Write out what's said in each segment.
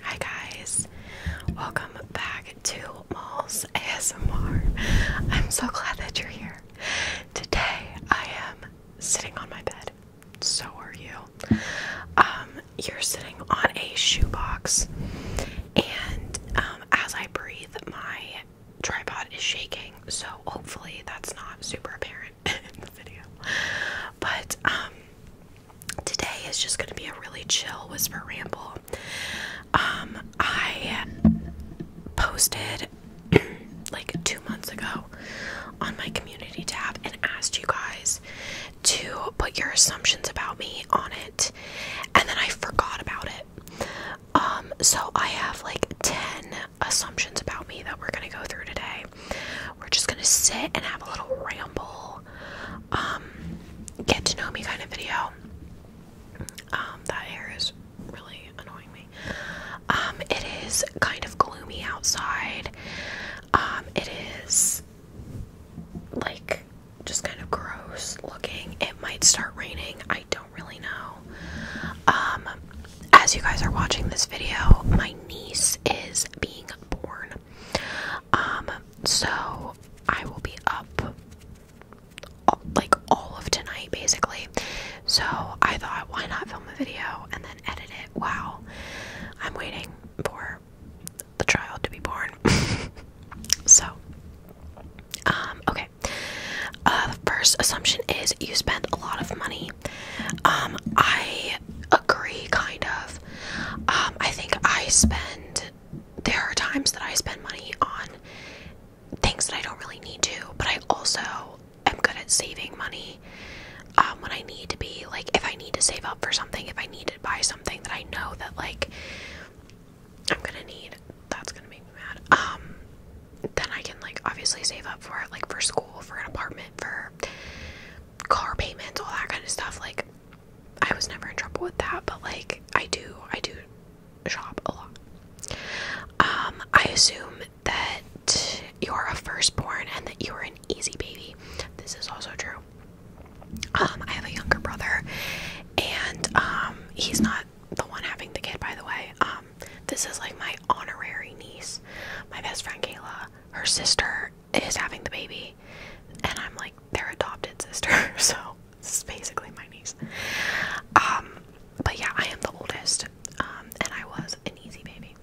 Hi guys, welcome back to Malls ASMR. I'm so glad that you're here. Today I am sitting on my bed. So are you. Um, you're sitting on a shoebox, and um, as I breathe, my tripod is shaking. So hopefully that's not super apparent in the video. But um, today is just going to be a really chill whisper ramble. Um, I posted like two months ago on my community tab and asked you guys to put your assumptions about me on it, and then I forgot about it. Um, so I have like 10 assumptions about me that we're going to go through today. We're just gonna sit and have a little ramble, um, get to know me kind of video. Um, that hair is really annoying me. Um, it is kind of gloomy outside. it is like just kind of gross looking. It might start raining. I don't really know. as you guys are watching this video, my niece is being born. Um, so I will be up like all of tonight basically. So I thought, why not film a video and then edit it? Wow, I'm waiting for the child to be born. so, um, okay. Uh, first assumption is you spend a lot of money. Um, I agree, kind of. Um, I think I spend, there are times that I spend money on things that I don't really need to, but I also am good at saving money um, when I need to be. Like, if I need to save up for something, if I need to buy something that I know that, like, I'm gonna need, that's gonna make me mad. Um, then I can, like, obviously save up for it, like, for school, for an apartment, for car payments, all that kind of stuff. Like, I was never in trouble with that, but like, I do, I do shop a lot. Um, I assume that you are a firstborn and that you are an easy baby. This is also true. Um, I have a younger brother, and um, he's not the one having the kid, by the way. Um, this is like my honorary niece, my best friend Kayla. Her sister is having the baby, and I'm like their adopted sister, so this is basically my niece. Um, but yeah, I am the oldest, um, and I was an easy baby.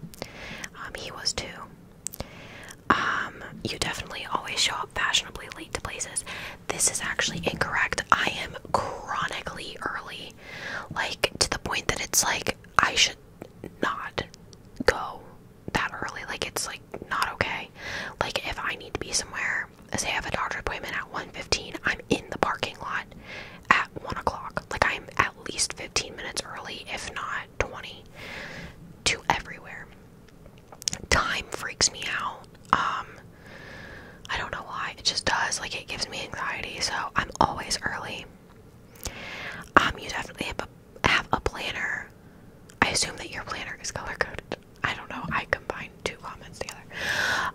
Um, he was too. Um, you definitely always show up fashionably late to places. This is actually incorrect. I am chronically early, like to the point that it's like I should not go that early. Like it's like not okay. Like if I need to be somewhere, say I have a doctor appointment at 1.15, I'm in the parking lot at one o'clock. Like I'm at least 15 minutes early, if not 20, to everywhere. Time freaks me out. Um I don't know why. It just does. Like it gives me anxiety. So I'm always early. Um, you definitely have a planner. I assume that your planner is color coded. I don't know. I combined two comments together.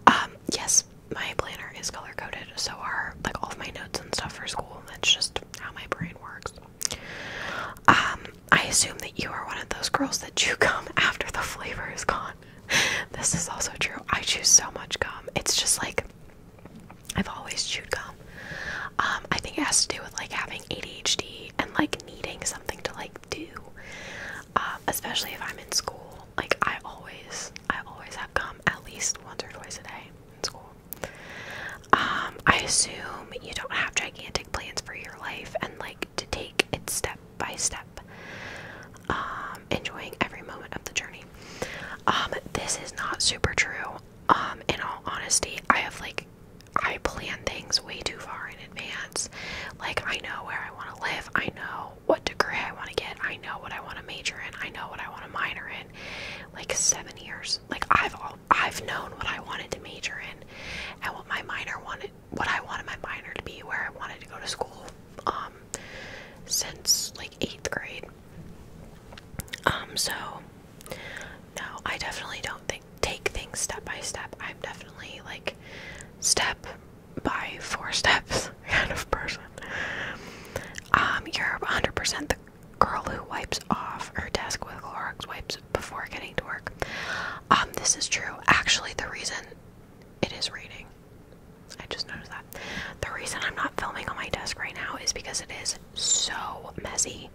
Um, yes, my planner is color coded. So are like all of my notes and stuff for school. That's just how my brain works. Um, I assume that you are one of those girls that you gum after the flavor is gone. This is also true. I chew so much gum. It's just like I've always chewed gum. Um, I think it has to do with like having ADHD and like needing something to like do. Um, especially if I'm in school. Like I always I always have gum at least once or twice a day in school. Um, I assume you don't have gigantic plans for your life and like to take it step by step. enjoying every moment of the journey. this is not super true. in all honesty, I have like I plan things way too far in advance. Like I know where I want to live, I know what degree I want to get, I know what I want to major in, I know what I want to minor in. Like seven years. Like I've all, I've known what I wanted to major in and what my minor wanted what I wanted my minor to be, where I wanted to go to school, um since like eighth grade. Um so no, I definitely don't take things step by step. I'm definitely like step by four steps kind of person. Um, you're 100% the girl who wipes off her desk with Clorox wipes before getting to work. Um, this is true. Actually, the reason it is raining. I just noticed that. The reason I'm not filming on my desk right now is because it is so messy,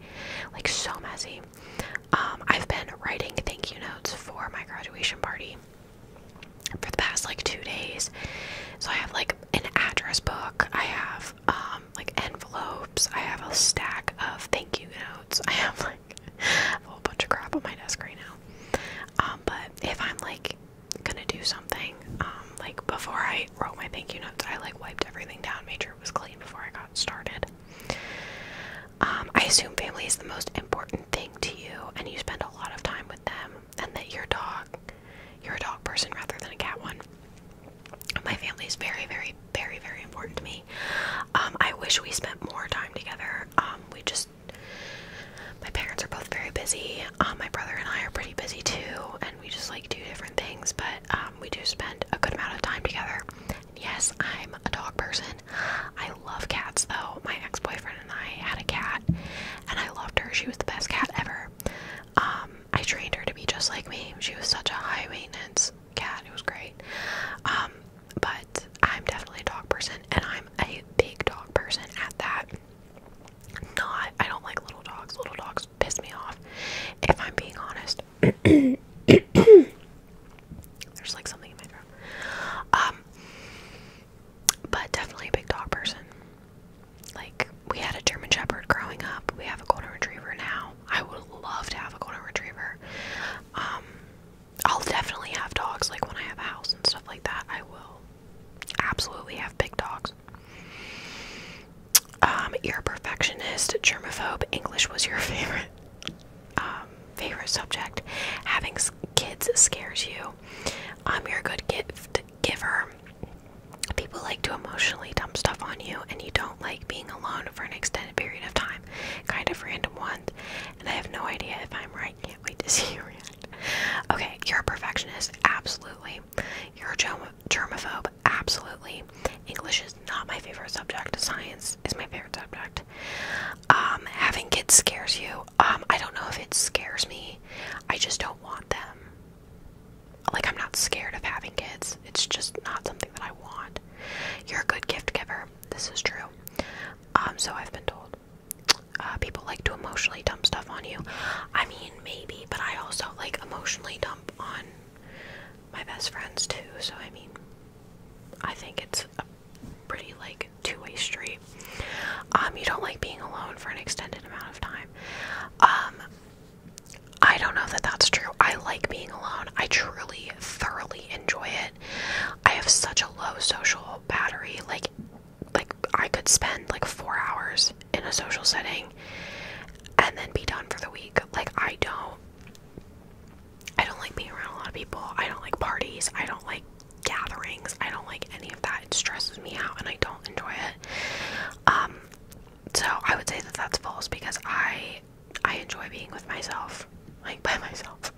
like so messy. Um, I've been writing thank you notes for my graduation party for the past like two days. So I have like an address book, I have um, like envelopes, I have a stack of thank you notes, I have like a whole bunch of crap on my desk right now. Um, but if I'm like gonna do something, like before I wrote my thank you notes, I like wiped everything down, made sure was clean before I got started. Um, I assume family is the most important thing to you, and you spend a lot of time with them, and that you're a dog, you're a dog person rather than a cat one. My family is very, very, very, very important to me. Um, I wish we spent more time together. Um, we just, my parents are both very busy. my brother and I are pretty busy too, and we just like do different things. But um, we do spend a good amount of time together. Yes, I'm a dog person. I love cats though. My ex boyfriend and I had a cat, and I loved her. She was the best cat ever. Um, I trained her to be just like me. She was such a high maintenance cat. It was great. Um, but I'm definitely a dog person, and I'm a big dog person at that. Not, I don't like little dogs. Little dogs piss me off. If I'm being honest, there's like something in my throat. Um, but definitely a big dog person. Like we had a German Shepherd growing up. We have a Golden Retriever now. I would love to have a Golden Retriever. Um, I'll definitely have dogs. Like when I have a house and stuff like that, I will absolutely have big dogs. Um, you're a perfectionist, germaphobe. English was your favorite um, favorite subject. Having kids scares you. Um, you're a good gift giver. People like to emotionally dump stuff on you, and you don't like being alone for an extended period of time. Kind of random one, and I have no idea if I'm right. Can't wait to see you react. Okay, you're a perfectionist, absolutely. You're a germ germaphobe absolutely. English is not my favorite subject. Science is my favorite subject. Um, having kids scares you. Um, I don't know if it scares me. I just don't want them. Like, I'm not scared of having kids. It's just not something that I want. You're a good gift giver. This is true. Um, so I've been told. Uh, people like to emotionally dump stuff on you. I mean, maybe, but I also like emotionally dump on my best friends too, so I mean, I think it's a pretty like two-way street. Um, you don't like being alone for an extended amount of time. Um, I don't know that that's true. I like being alone. I truly, thoroughly enjoy it. I have such a low social battery. Like, like I could spend like four hours in a social setting, and then be done for the week. Like I don't I don't like being around a lot of people. I don't like parties. I don't like gatherings. I don't like any of that. It stresses me out and I don't enjoy it. Um so I would say that that's false because I I enjoy being with myself, like by myself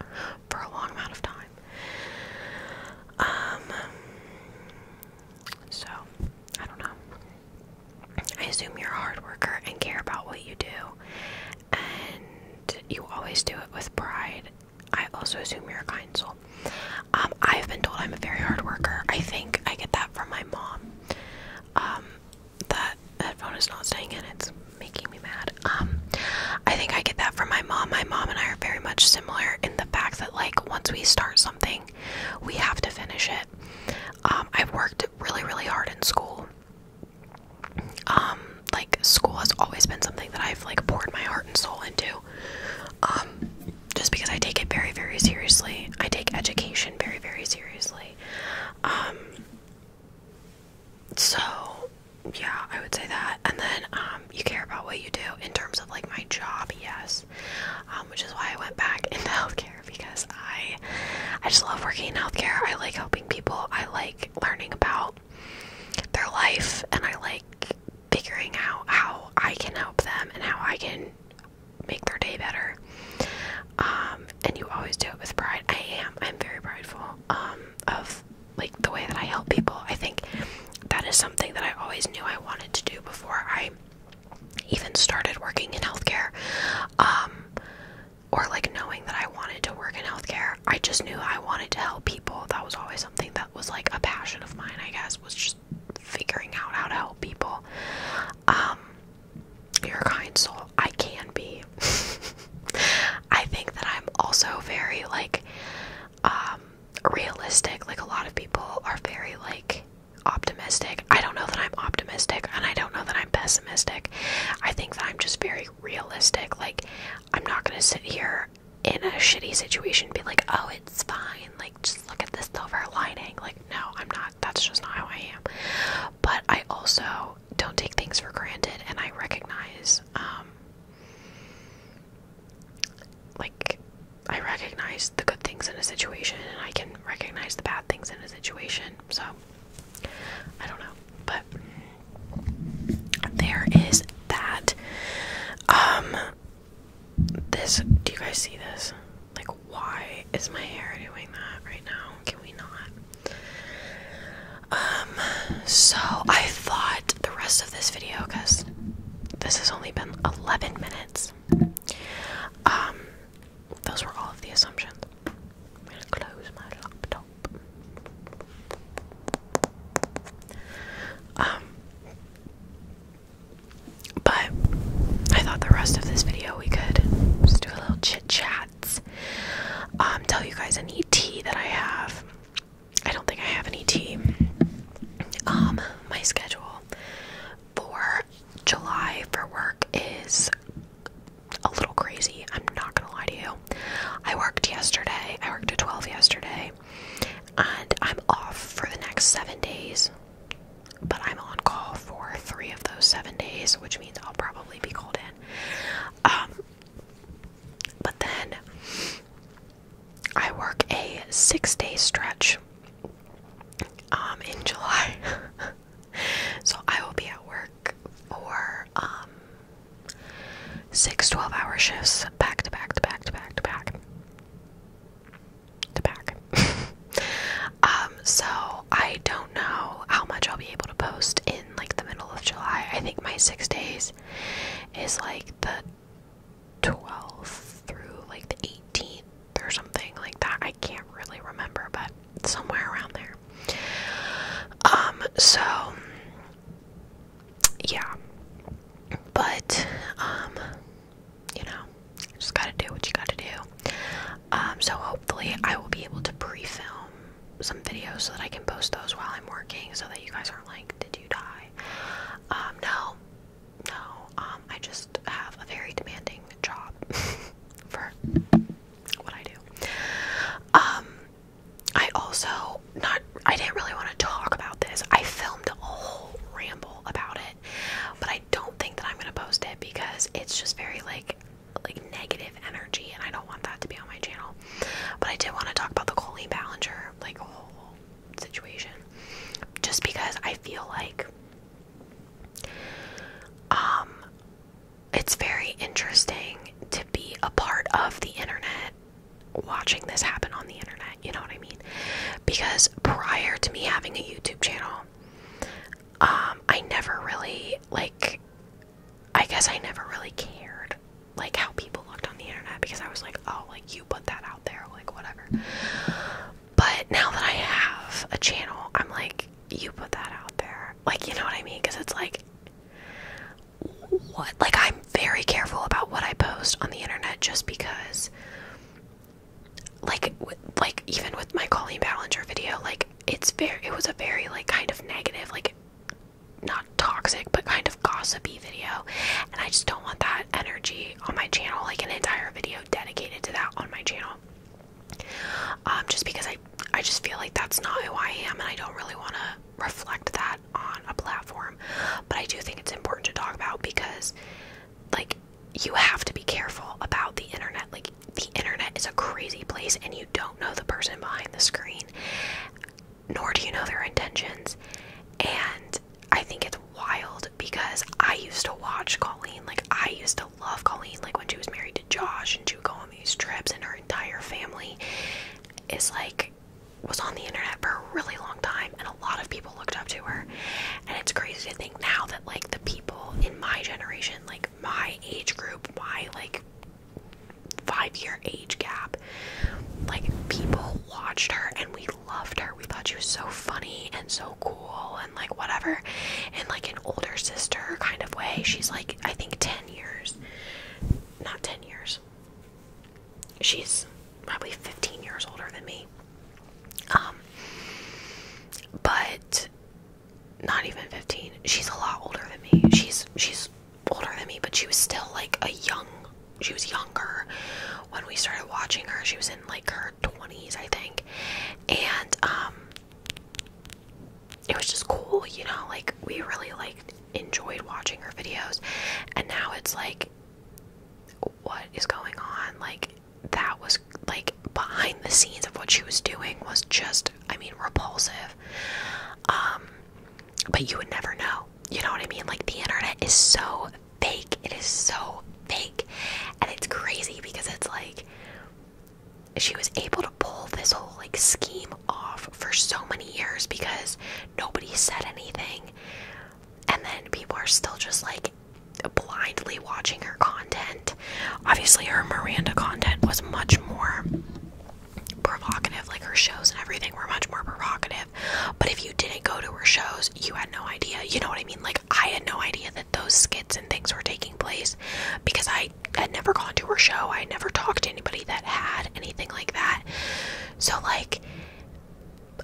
for a long amount of time. Um so I don't know. I assume you're a hard worker and care about what you do, and you always do it with pride. I also assume you're a kind soul. Um, I've been told I'm a very hard worker. I think I get that from my mom. Um, that headphone is not staying in, it's making me mad. Um, I think I get that from my mom. My mom and I are very much similar in the fact that, like, once we start something, we have to finish it um, I've worked really, really hard in school. Um, like school has always been something that I've like poured my heart and soul into. Um, just because I take it very, very seriously. I take education very, very seriously. so yeah, I would say that. And then you care about what you do in terms of like my job, yes. Um, which is why I went back into healthcare because I, I just love working in healthcare. I like helping people. I like learning about their life, and I like figuring out how I can help them and how I can make their day better. Um, and you always do it with pride. I am. I'm very prideful um, of like the way that I help people. I think that is something that I always knew I wanted to do before I even started working in healthcare um, or like knowing that I wanted to work in healthcare. I just knew I wanted to help people. That was always something that was like a passion of mine, I guess, was just figuring out how to help people. Um you're kind soul. I can be. I think that I'm also very like um, realistic. Like a lot of people are very like optimistic. I don't know that I'm optimistic and I don't know that I'm pessimistic. I think that I'm just very realistic. Like, I'm not going to sit here in a shitty situation and be like, oh, it's fine. Like, just look at this silver lining. Like, no, I'm not. That's just not how I am. But I also don't take things for granted and I recognize, um, like, I recognize the good things in a situation and I can recognize the bad things in a situation. So I don't know, but there is that. Um, this. Do you guys see this? Like, why is my hair doing that right now? Can we not? Um, so I thought the rest of this video, because this has only been 11 minutes, um, those were all of the assumptions. I'm gonna close my laptop. Um, but I thought the rest of this video we could just do a little chit chats. Um, tell you guys any tea that I have. I don't think I have any tea. Um, my schedule for July for work is a little crazy. I'm not gonna lie to you. I worked yesterday, I worked at 12 yesterday, and I'm off for the next seven days. But I'm on call for three of those seven days, which means I'll probably be called in. Um, but then I work a six day stretch um, in July. So I will be at work for um six 12 hour shifts back to back to back to back to back to back. um so I don't know how much I'll be able to post in like the middle of July. I think my 6 days is like the 12th through like the 18th or something like that. I can't really remember, but somewhere around there. Um, so yeah. But um, you know, just gotta do what you gotta do. Um, so hopefully I will be able to pre-film some videos so that I can post those while I'm working so that you guys aren't like, did you die? Um, no, no, um, I just have a very demanding job for what I do. Um, I also not I didn't really want to talk about this. I filmed a whole ramble about it, but I don't think that I'm gonna post it because it's just very like like negative energy and I don't want that to be on my channel. But I did want to talk about the Colleen Ballinger like whole situation. Just because I feel like um, it's very interesting to be a part of the internet, watching this happen on the internet, you know what I mean? Because prior to me having a YouTube channel, um, I never really, like, I guess I never really cared, like, how people looked on the internet because I was like, oh, like, you put that out there, like, whatever. But now that I have a channel, I'm like, you put that out there. Like, you know what I mean? Because it's like, what? Like, I'm very careful about what I post on the internet just because, like, like even with my Colleen Ballinger video, like, it's very, it was a very, like, kind of negative, like, not toxic, but kind of gossipy video. And I just don't want that energy on my channel, like, an entire video dedicated to that on my channel. Um, just because I I just feel like that's not who I am, and I don't really want to reflect that on a platform. But I do think it's important to talk about because, like, you have to be careful about the internet. Like, the internet is a crazy place, and you don't know the person behind the screen, nor do you know their intentions. And I think it's wild because I used to watch Colleen, like, I used to love Colleen. Like when she was married to Josh and she would go on these trips, and her entire family is like was on the internet for a really long time, and a lot of people looked up to her. And it's crazy to think now that like the people in my generation, like my age group, my like five year age gap, like people watched her and we loved her. We thought she was so funny and so cool like whatever and like an older sister kind of way she's like i think 10 years not 10 years she's probably 15 years older than me um but not even 15 she's a lot older than me she's she's older than me but she was still like a young she was younger when we started watching her she was in like her 20s, I think. And um it was just cool, you know, like we really like enjoyed watching her videos. And now it's like what is going on? Like that was like behind the scenes of what she was doing was just I mean repulsive. Um but you would never know. You know what I mean? Like the internet is so fake. It is so fake. And it's crazy because it's like she was able to pull this whole like scheme off for so many years because nobody said anything and then people are still just like blindly watching her content obviously her miranda content was much more provocative like her shows and everything were much more provocative but if you didn't go to her shows you had no idea you know what i mean like i had no idea that those skits and things were taking place because I had never gone to her show. I never talked to anybody that had anything like that. So, like,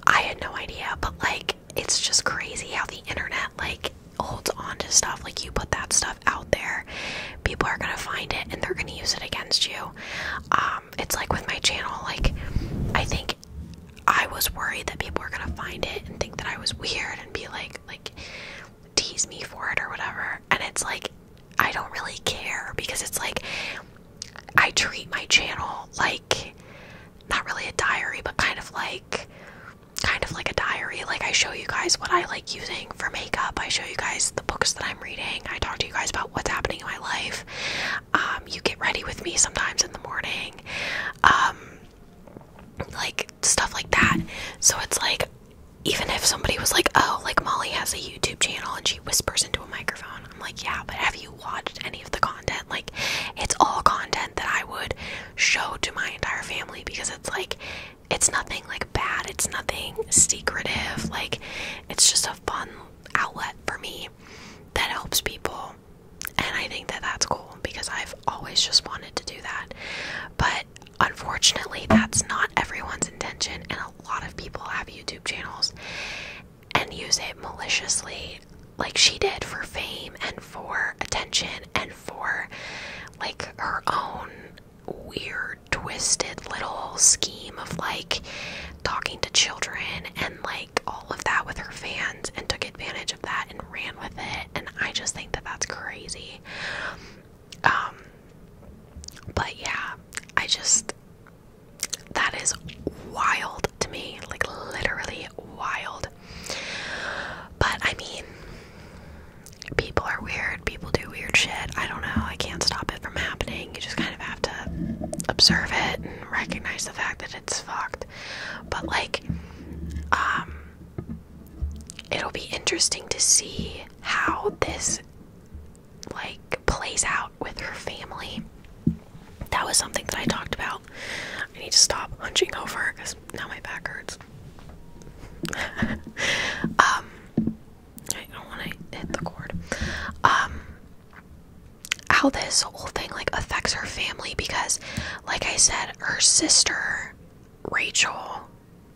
I had no idea, but like, it's just crazy how the internet, like, holds on to stuff. Like, you put that stuff out there, people are gonna find it and they're gonna use it against you. Um, it's like with my channel, like, I think I was worried that people were gonna find it and think that I was weird and be like, like, tease me for it or whatever. And it's like, I don't really care because it's like, I treat my channel like not really a diary, but kind of like, kind of like a diary. Like, I show you guys what I like using for makeup, I show you guys the books that I'm reading, I talk to you guys about what's happening in my life. Um, you get ready with me sometimes in the morning. Um, like stuff like that. So it's like even if somebody was like, "Oh, like Molly has a YouTube channel and she whispers into a microphone." I'm like, "Yeah, but have you watched any of the content?" Like it's all content that I would show to my entire family because it's like it's nothing like bad, it's nothing secretive. Like it's just a fun outlet for me that helps people and I think that that's cool because I've always just wanted to do that. But unfortunately, that's not everyone's intention, and a lot of people have YouTube channels and use it maliciously, like she did for fame and for attention and for like her own weird, twisted little scheme of like talking to children and like all of that with her fans and took advantage of that and ran with it. And I just think that that's crazy. Um, but yeah, I just, that is wild to me, like literally wild. But I mean, people are weird, people do weird shit. I don't know, I can't stop it from happening. You just kind of have to observe it and recognize the fact that it's fucked. But like, um, it'll be interesting to see how this like plays out with her family. That was something that I talked about. I need to stop hunching over because now my back hurts. um, I don't want to hit the cord. Um, how this whole thing like affects her family because like I said, her sister Rachel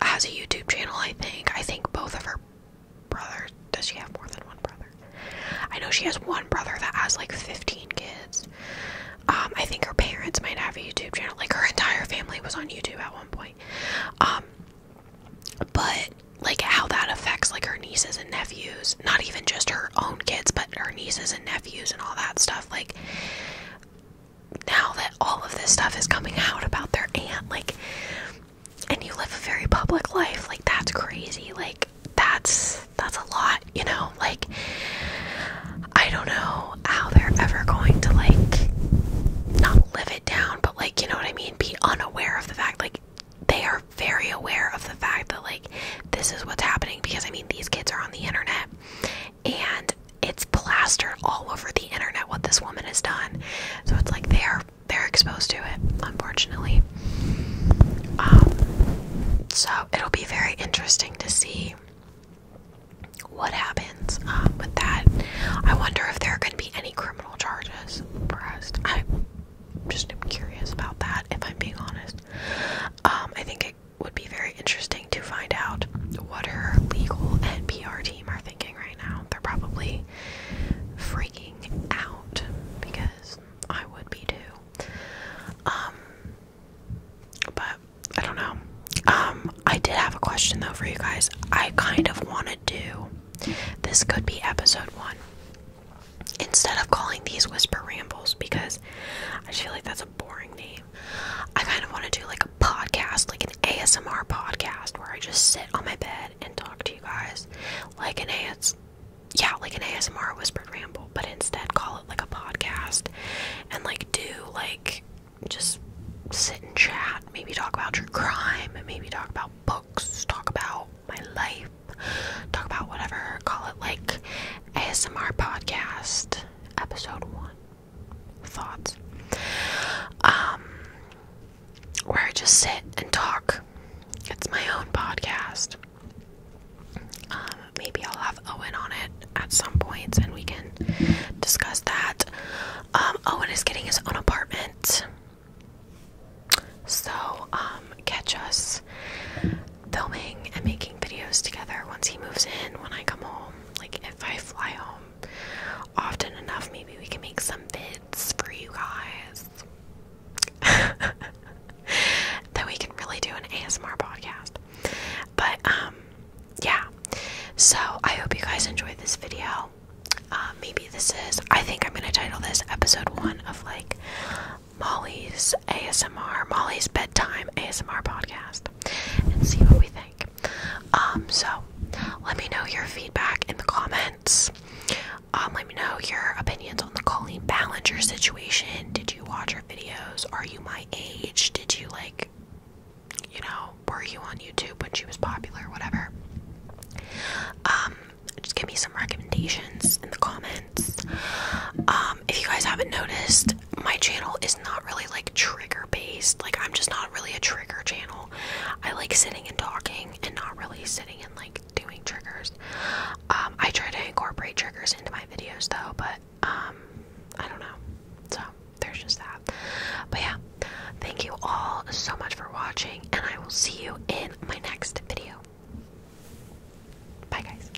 has a YouTube channel, I think. I think both of her brothers. Does she have more than one brother? I know she has one brother that has like 15 kids. Um, I think her parents might have a YouTube channel. Like her entire family was on YouTube at one point. Um, but like how that affects like her nieces and nephews, not even just her own kids, but her nieces and nephews and all that stuff like now that all of this stuff is coming out about their aunt like and you live a very public life like that's crazy like that's that's a lot you know like i don't know how they're ever going to like not live it down but like you know what i mean be unaware of the fact like they are very aware of the fact that like this is what's happening because i mean these kids are on the internet and it's plastered all over the internet what this woman has done. So it's like they are they're exposed to it, unfortunately. Um, so it'll be very interesting to see what happens um, with that. I wonder if there are going to be any criminal charges pressed. I just curious about that, if I'm being honest. Um, I think it would be very interesting to find out what her legal and PR team are thinking right now. They're probably freaking out because I would be too. Um, but I don't know. Um, I did have a question though for you guys. I kind of want to do this, could be episode one instead of calling these whisper rambles because I feel like that's a boring name. I kind of want to do like a podcast, like an ASMR podcast, where I just sit on my bed and talk to you guys, like an AS, yeah, like an ASMR whispered ramble, but instead call it like a podcast, and like do like just sit and chat, maybe talk about your crime, maybe talk about books, talk about my life, talk about whatever, call it like ASMR podcast, episode one thoughts um where I just sit and talk. It's my own podcast. Um, maybe I'll have Owen on it at some points and we can discuss that. Um, Owen is getting his own apartment. So, um, catch us filming and making videos together once he moves in, when I come home. Like, if I fly home often enough, maybe we can make some vids for you guys. that we can really do an ASMR podcast. But, um, yeah. So, I hope you guys enjoyed this video. Uh, maybe this is, I think I'm going to title this episode one of like Molly's ASMR, Molly's bedtime ASMR podcast, and see what we think. Um, so let me know your feedback in the comments. Um, let me know your opinions on the Colleen Ballinger situation. Did you watch her videos? Are you my age? Did you like, you know, were you on YouTube when she was popular, or whatever? Um, just give me some recommendations in the comments. Um, um, if you guys haven't noticed, my channel is not really like trigger based. Like, I'm just not really a trigger channel. I like sitting and talking and not really sitting and like doing triggers. Um, I try to incorporate triggers into my videos though, but um, I don't know. So, there's just that. But yeah, thank you all so much for watching, and I will see you in my next video. Bye, guys.